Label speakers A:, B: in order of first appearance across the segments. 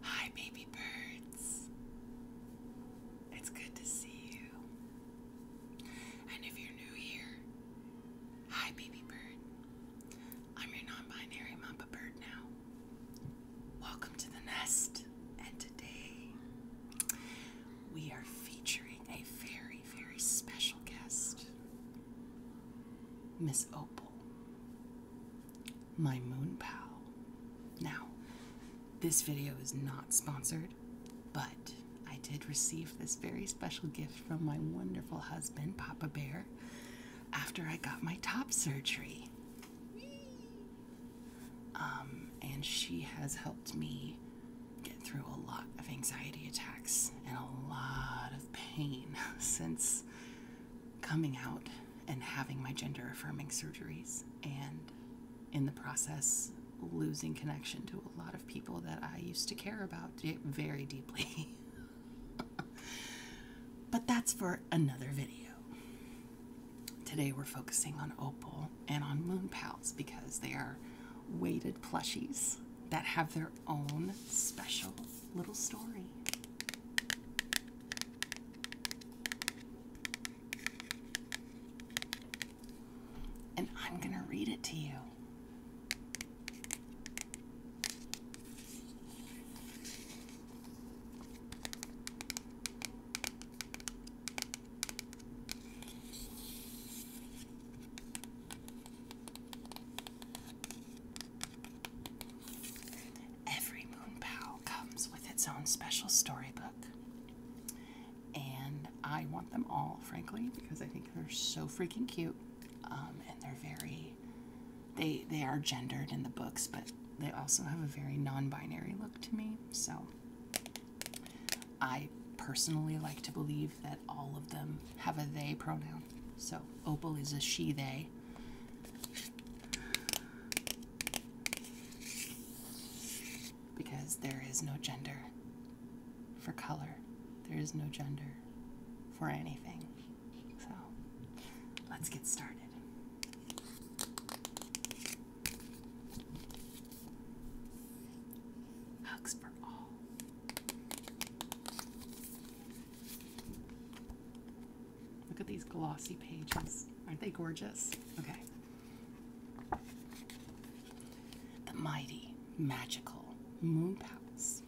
A: Hi, baby birds. It's good to see you. And if you're new here, hi, baby bird. I'm your non binary Mamba bird now. Welcome to the nest. And today, we are featuring a very, very special guest, Miss Opal my moon pal. Now, this video is not sponsored, but I did receive this very special gift from my wonderful husband, Papa Bear, after I got my top surgery. Um, and she has helped me get through a lot of anxiety attacks and a lot of pain since coming out and having my gender affirming surgeries, and in the process, losing connection to a lot of people that I used to care about very deeply. but that's for another video. Today we're focusing on Opal and on moonpals because they are weighted plushies that have their own special little story. And I'm going to read it to you. Every moon pal comes with its own special storybook. And I want them all, frankly, because I think they're so freaking cute. Um, and they're very, they, they are gendered in the books, but they also have a very non binary look to me. So I personally like to believe that all of them have a they pronoun. So opal is a she they. Because there is no gender for color. There is no gender for anything. So let's get started. Hugs for all. Look at these glossy pages. Aren't they gorgeous? Okay. The mighty, magical moon palace.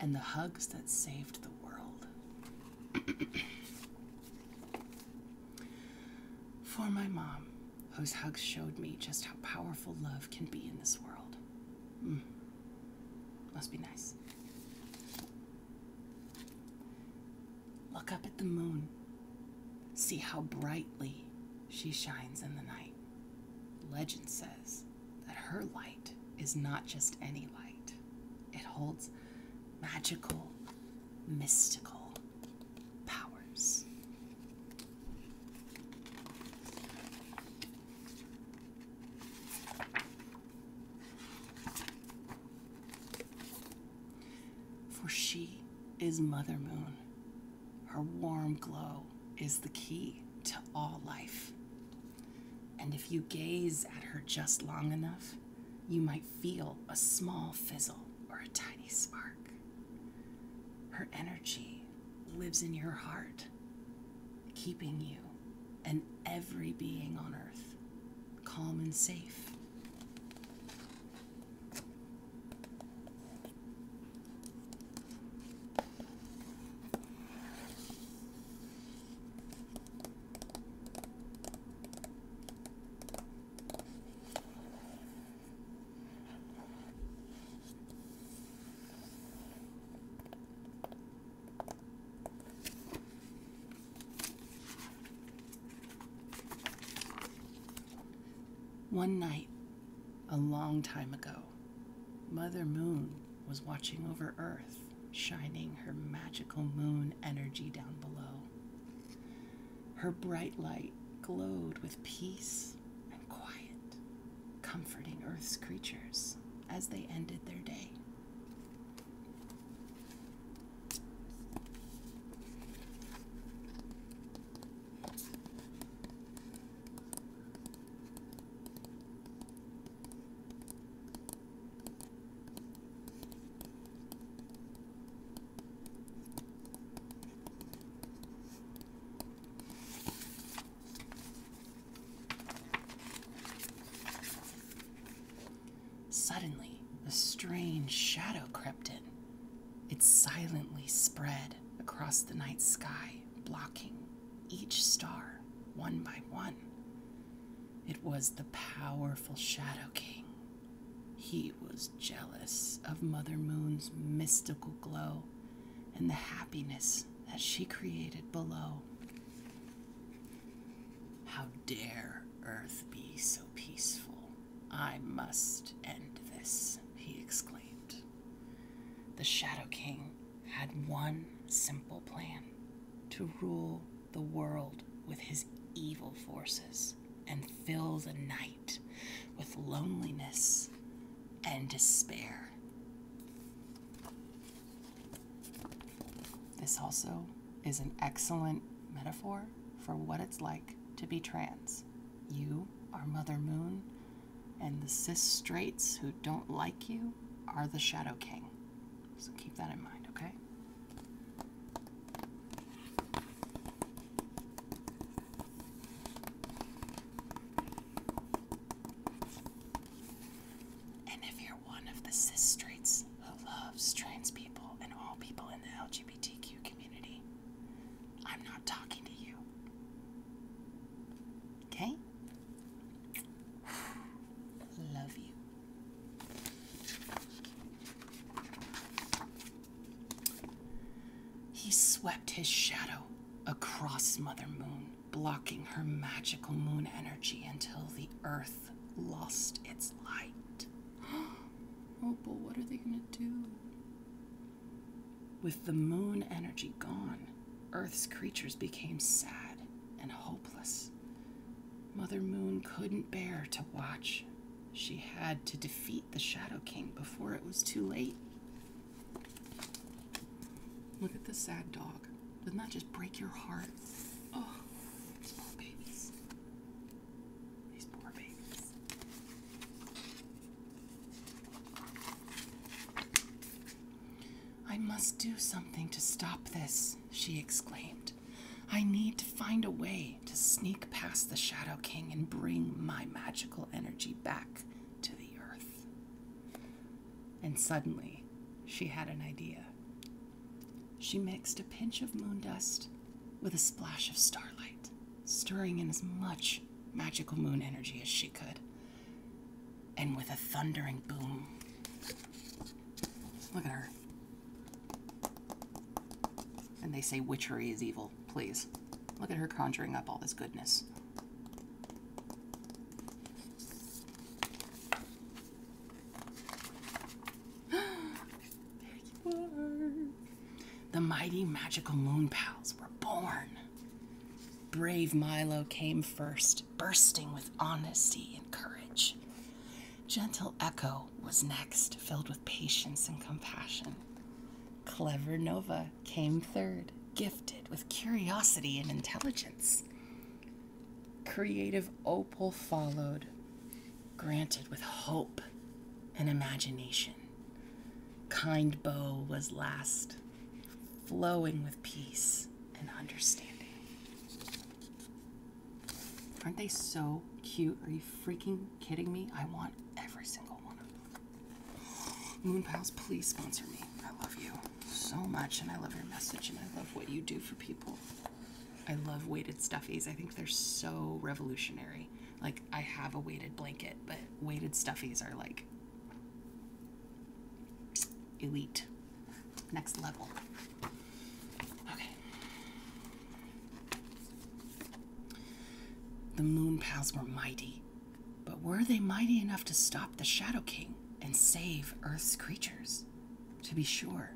A: And the hugs that saved the world. For my mom, those hugs showed me just how powerful love can be in this world. Mm. Must be nice. Look up at the moon. See how brightly she shines in the night. Legend says that her light is not just any light, it holds magical, mystical powers. For she is Mother Moon. Her warm glow is the key to all life. And if you gaze at her just long enough, you might feel a small fizzle or a tiny spark. Her energy lives in your heart, keeping you and every being on earth calm and safe. One night, a long time ago, Mother Moon was watching over Earth, shining her magical moon energy down below. Her bright light glowed with peace and quiet comforting Earth's creatures as they ended their day. Suddenly, a strange shadow crept in. It silently spread across the night sky, blocking each star one by one. It was the powerful Shadow King. He was jealous of Mother Moon's mystical glow and the happiness that she created below. How dare Earth be so peaceful? I must end this, he exclaimed. The Shadow King had one simple plan to rule the world with his evil forces and fill the night with loneliness and despair. This also is an excellent metaphor for what it's like to be trans. You are Mother Moon, and the cis straights who don't like you are the Shadow King. So keep that in mind, okay? And if you're one of the cis straights who loves trans people and all people in the LGBTQ community, I'm not talking to you. Okay? Love you. He swept his shadow across Mother Moon blocking her magical moon energy until the earth lost its light. oh, but what are they going to do? With the moon energy gone, Earth's creatures became sad and hopeless. Mother Moon couldn't bear to watch. She had to defeat the Shadow King before it was too late. Look at this sad dog. Doesn't that just break your heart? Oh, these poor babies. These poor babies. I must do something to stop this, she exclaimed. I need to find a way to sneak past the Shadow King and bring my magical energy back to the earth. And suddenly, she had an idea. She mixed a pinch of moon dust with a splash of starlight, stirring in as much magical moon energy as she could. And with a thundering boom. Look at her. And they say witchery is evil, please. Look at her conjuring up all this goodness. The mighty magical moon pals were born. Brave Milo came first, bursting with honesty and courage. Gentle Echo was next, filled with patience and compassion. Clever Nova came third, gifted with curiosity and intelligence. Creative Opal followed, granted with hope and imagination. Kind Bow was last, flowing with peace and understanding. Aren't they so cute? Are you freaking kidding me? I want every single one of them. Moon Pals, please sponsor me. I love you so much, and I love your message, and I love what you do for people. I love weighted stuffies. I think they're so revolutionary. Like, I have a weighted blanket, but weighted stuffies are like elite, next level. Okay. The moon pals were mighty. But were they mighty enough to stop the Shadow King and save Earth's creatures? To be sure,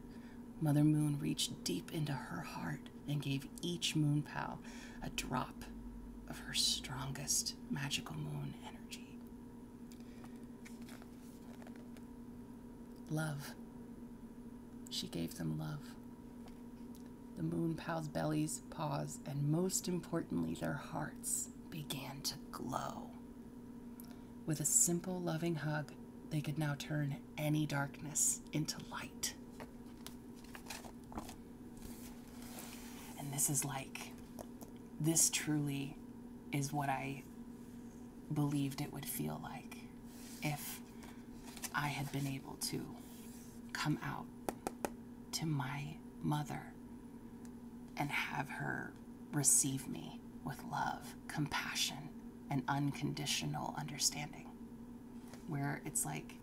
A: Mother Moon reached deep into her heart and gave each moon pal a drop of her strongest magical moon energy. Love. She gave them love. The moon pal's bellies bodies, paws, and most importantly, their hearts began to glow. With a simple, loving hug, they could now turn any darkness into light. And this is like, this truly is what I believed it would feel like if I had been able to come out to my mother and have her receive me with love, compassion, and unconditional understanding. Where it's like,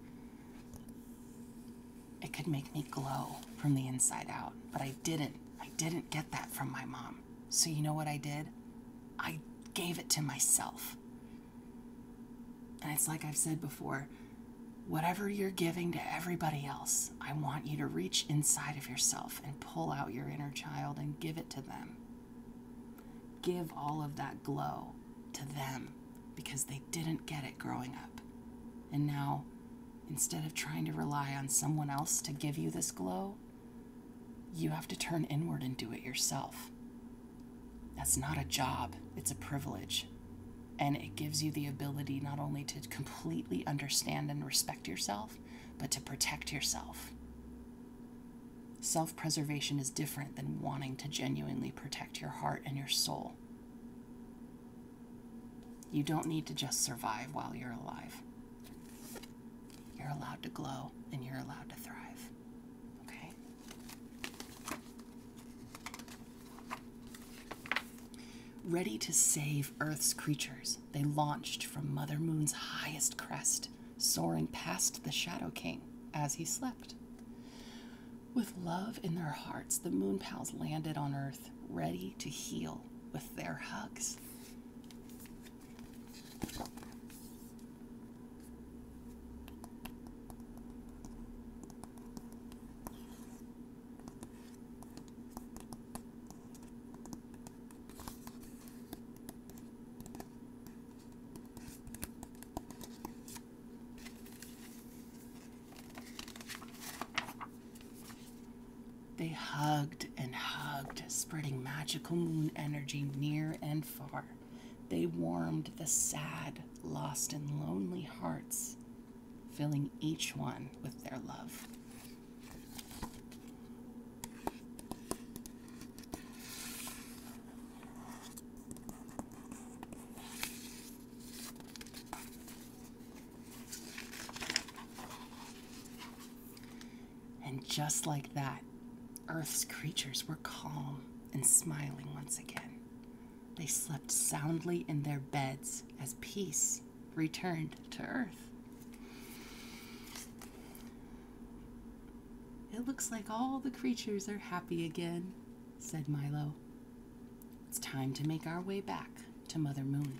A: it could make me glow from the inside out, but I didn't. I didn't get that from my mom. So, you know what I did? I gave it to myself. And it's like I've said before Whatever you're giving to everybody else, I want you to reach inside of yourself and pull out your inner child and give it to them. Give all of that glow to them because they didn't get it growing up. And now, instead of trying to rely on someone else to give you this glow, you have to turn inward and do it yourself. That's not a job, it's a privilege. And it gives you the ability not only to completely understand and respect yourself, but to protect yourself. Self preservation is different than wanting to genuinely protect your heart and your soul. You don't need to just survive while you're alive. You're allowed to glow and you're allowed to thrive. Okay? Ready to save Earth's creatures, they launched from Mother Moon's highest crest, soaring past the Shadow King as he slept. With love in their hearts, the Moon Pals landed on Earth, ready to heal with their hugs. They hugged and hugged, spreading magical moon energy near and far. They warmed the sad, lost, and lonely hearts filling each one with their love. And just like that, Earth's creatures were calm and smiling once again. They slept soundly in their beds as peace returned to Earth. It looks like all the creatures are happy again, said Milo. It's time to make our way back to Mother Moon.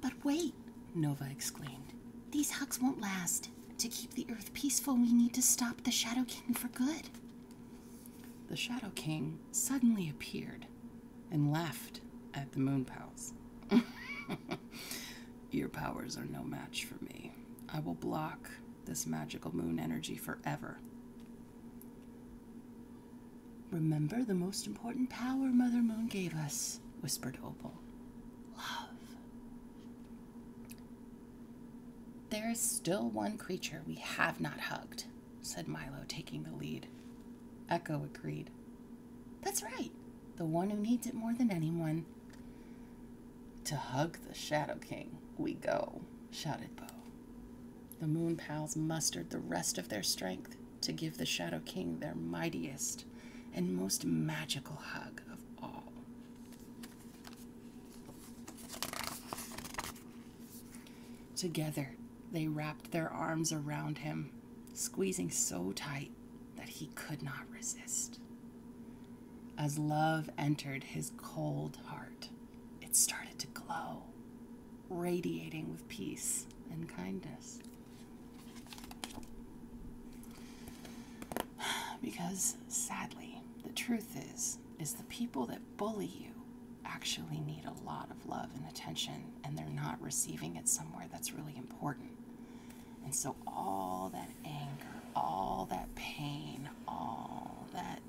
A: But wait, Nova exclaimed. These hugs won't last. To keep the Earth peaceful, we need to stop the Shadow King for good. The Shadow King suddenly appeared and laughed at the Moon Pals. Your powers are no match for me. I will block this magical moon energy forever. Remember the most important power Mother Moon gave us, whispered Opal. Love. There is still one creature we have not hugged, said Milo, taking the lead. Echo agreed. That's right, the one who needs it more than anyone. To hug the Shadow King, we go, shouted Bo. The Moon Pals mustered the rest of their strength to give the Shadow King their mightiest and most magical hug of all. Together, they wrapped their arms around him, squeezing so tight that he could not resist. As love entered his cold heart, it started to glow, radiating with peace and kindness. Because sadly, the truth is is the people that bully you actually need a lot of love and attention and they're not receiving it somewhere that's really important. And so all that anger, all that pain, all that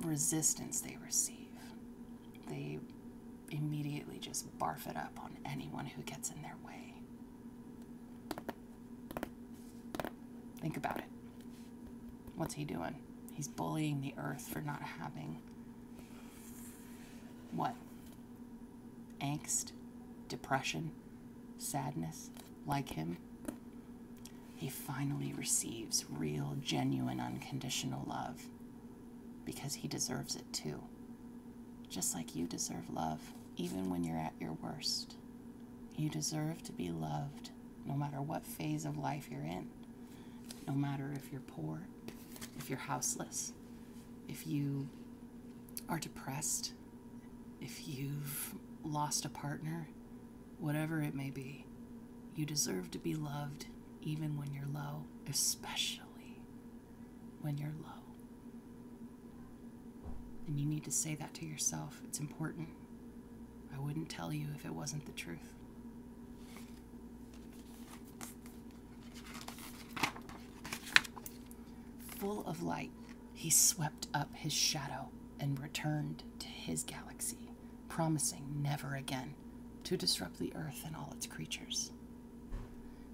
A: resistance they receive, they immediately just barf it up on anyone who gets in their way. Think about it. What's he doing? He's bullying the earth for not having what? Angst, depression, sadness, like him. He finally receives real, genuine, unconditional love because he deserves it too. Just like you deserve love, even when you're at your worst. You deserve to be loved no matter what phase of life you're in. No matter if you're poor, if you're houseless, if you are depressed, if you've lost a partner, whatever it may be, you deserve to be loved even when you're low, especially when you're low. And you need to say that to yourself. It's important. I wouldn't tell you if it wasn't the truth. Full of light, he swept up his shadow and returned to his galaxy, promising never again to disrupt the earth and all its creatures.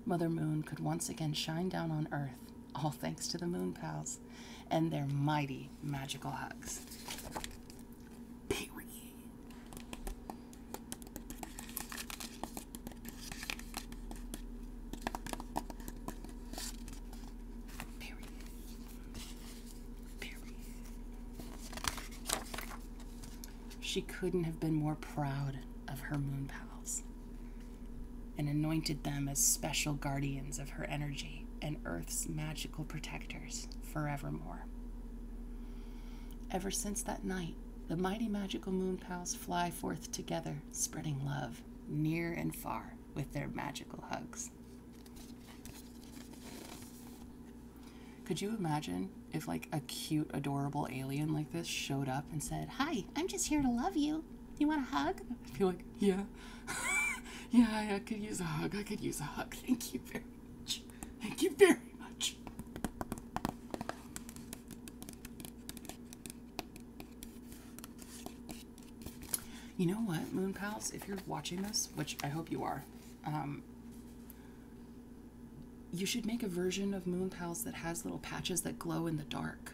A: Mother Moon could once again shine down on Earth, all thanks to the Moon Pals and their mighty magical hugs she couldn't have been more proud of her moon pals and anointed them as special guardians of her energy and Earth's magical protectors forevermore. Ever since that night, the mighty magical moon pals fly forth together, spreading love near and far with their magical hugs. Could you imagine if, like, a cute, adorable alien like this showed up and said, Hi, I'm just here to love you. You want a hug? I'd like, Yeah. yeah, I could use a hug. I could use a hug. Thank you very much. Thank you very much. You know what, Moon Pals? If you're watching this, which I hope you are, um, you should make a version of Moonpals that has little patches that glow in the dark.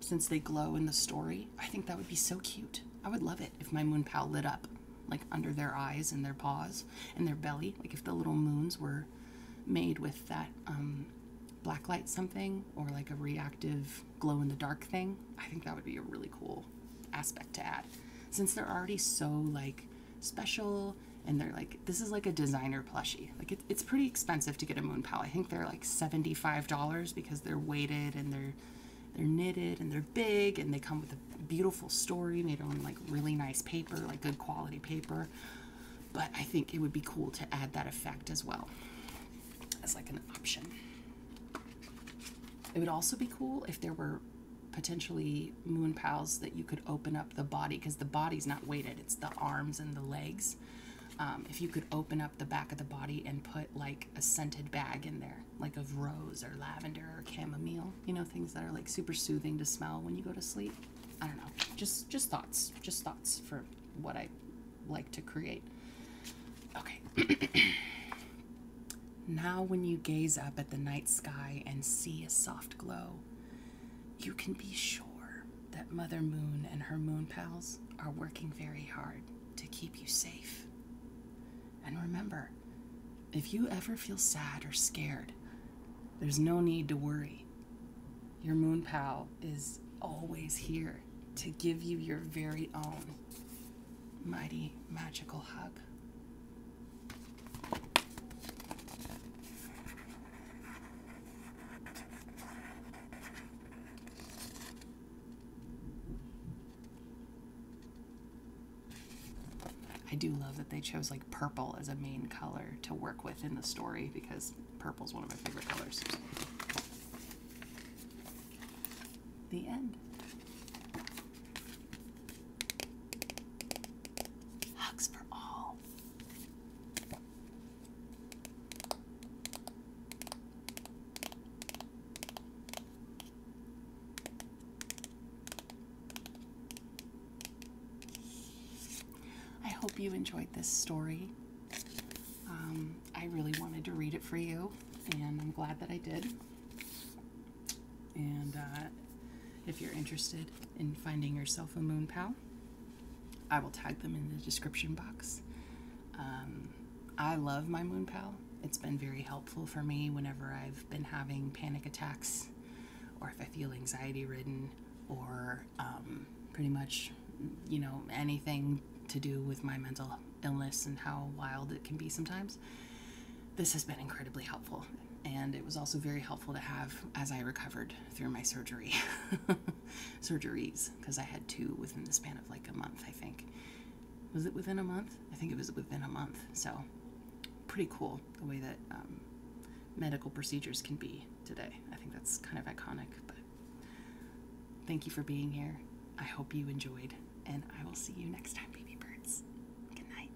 A: Since they glow in the story, I think that would be so cute. I would love it if my moon lit up, like under their eyes and their paws and their belly. Like if the little moons were made with that um, blacklight something or like a reactive glow in the dark thing. I think that would be a really cool aspect to add. Since they're already so like special and they're like this is like a designer plushie like it's pretty expensive to get a moon pal i think they're like $75 because they're weighted and they're they're knitted and they're big and they come with a beautiful story made on like really nice paper like good quality paper but i think it would be cool to add that effect as well as like an option it would also be cool if there were potentially moon pals that you could open up the body because the body's not weighted it's the arms and the legs um, if you could open up the back of the body and put like a scented bag in there like of rose or lavender or chamomile you know things that are like super soothing to smell when you go to sleep i don't know just just thoughts just thoughts for what i like to create okay now when you gaze up at the night sky and see a soft glow you can be sure that Mother Moon and her moon pals are working very hard to keep you safe. And remember, if you ever feel sad or scared, there's no need to worry. Your moon pal is always here to give you your very own mighty magical hug. I do love that they chose like purple as a main color to work with in the story because purple is one of my favorite colors. The end. Hugs for all. I hope you enjoyed this story. Um, I really wanted to read it for you, and I'm glad that I did. And uh, if you're interested, in finding yourself a moon pal. I will tag them in the description box. Um, I love my moon pal. It's been very helpful for me whenever I've been having panic attacks or if I feel anxiety ridden or um, pretty much, you know, anything to do with my mental illness and how wild it can be sometimes. This has been incredibly helpful. And it was also very helpful to have as I recovered through my surgery surgeries because I had two within the span of like a month, I think. Was it within a month? I think it was within a month. So pretty cool the way that um, medical procedures can be today. I think that's kind of iconic, but thank you for being here. I hope you enjoyed, and I will see you next time, baby birds. Good night.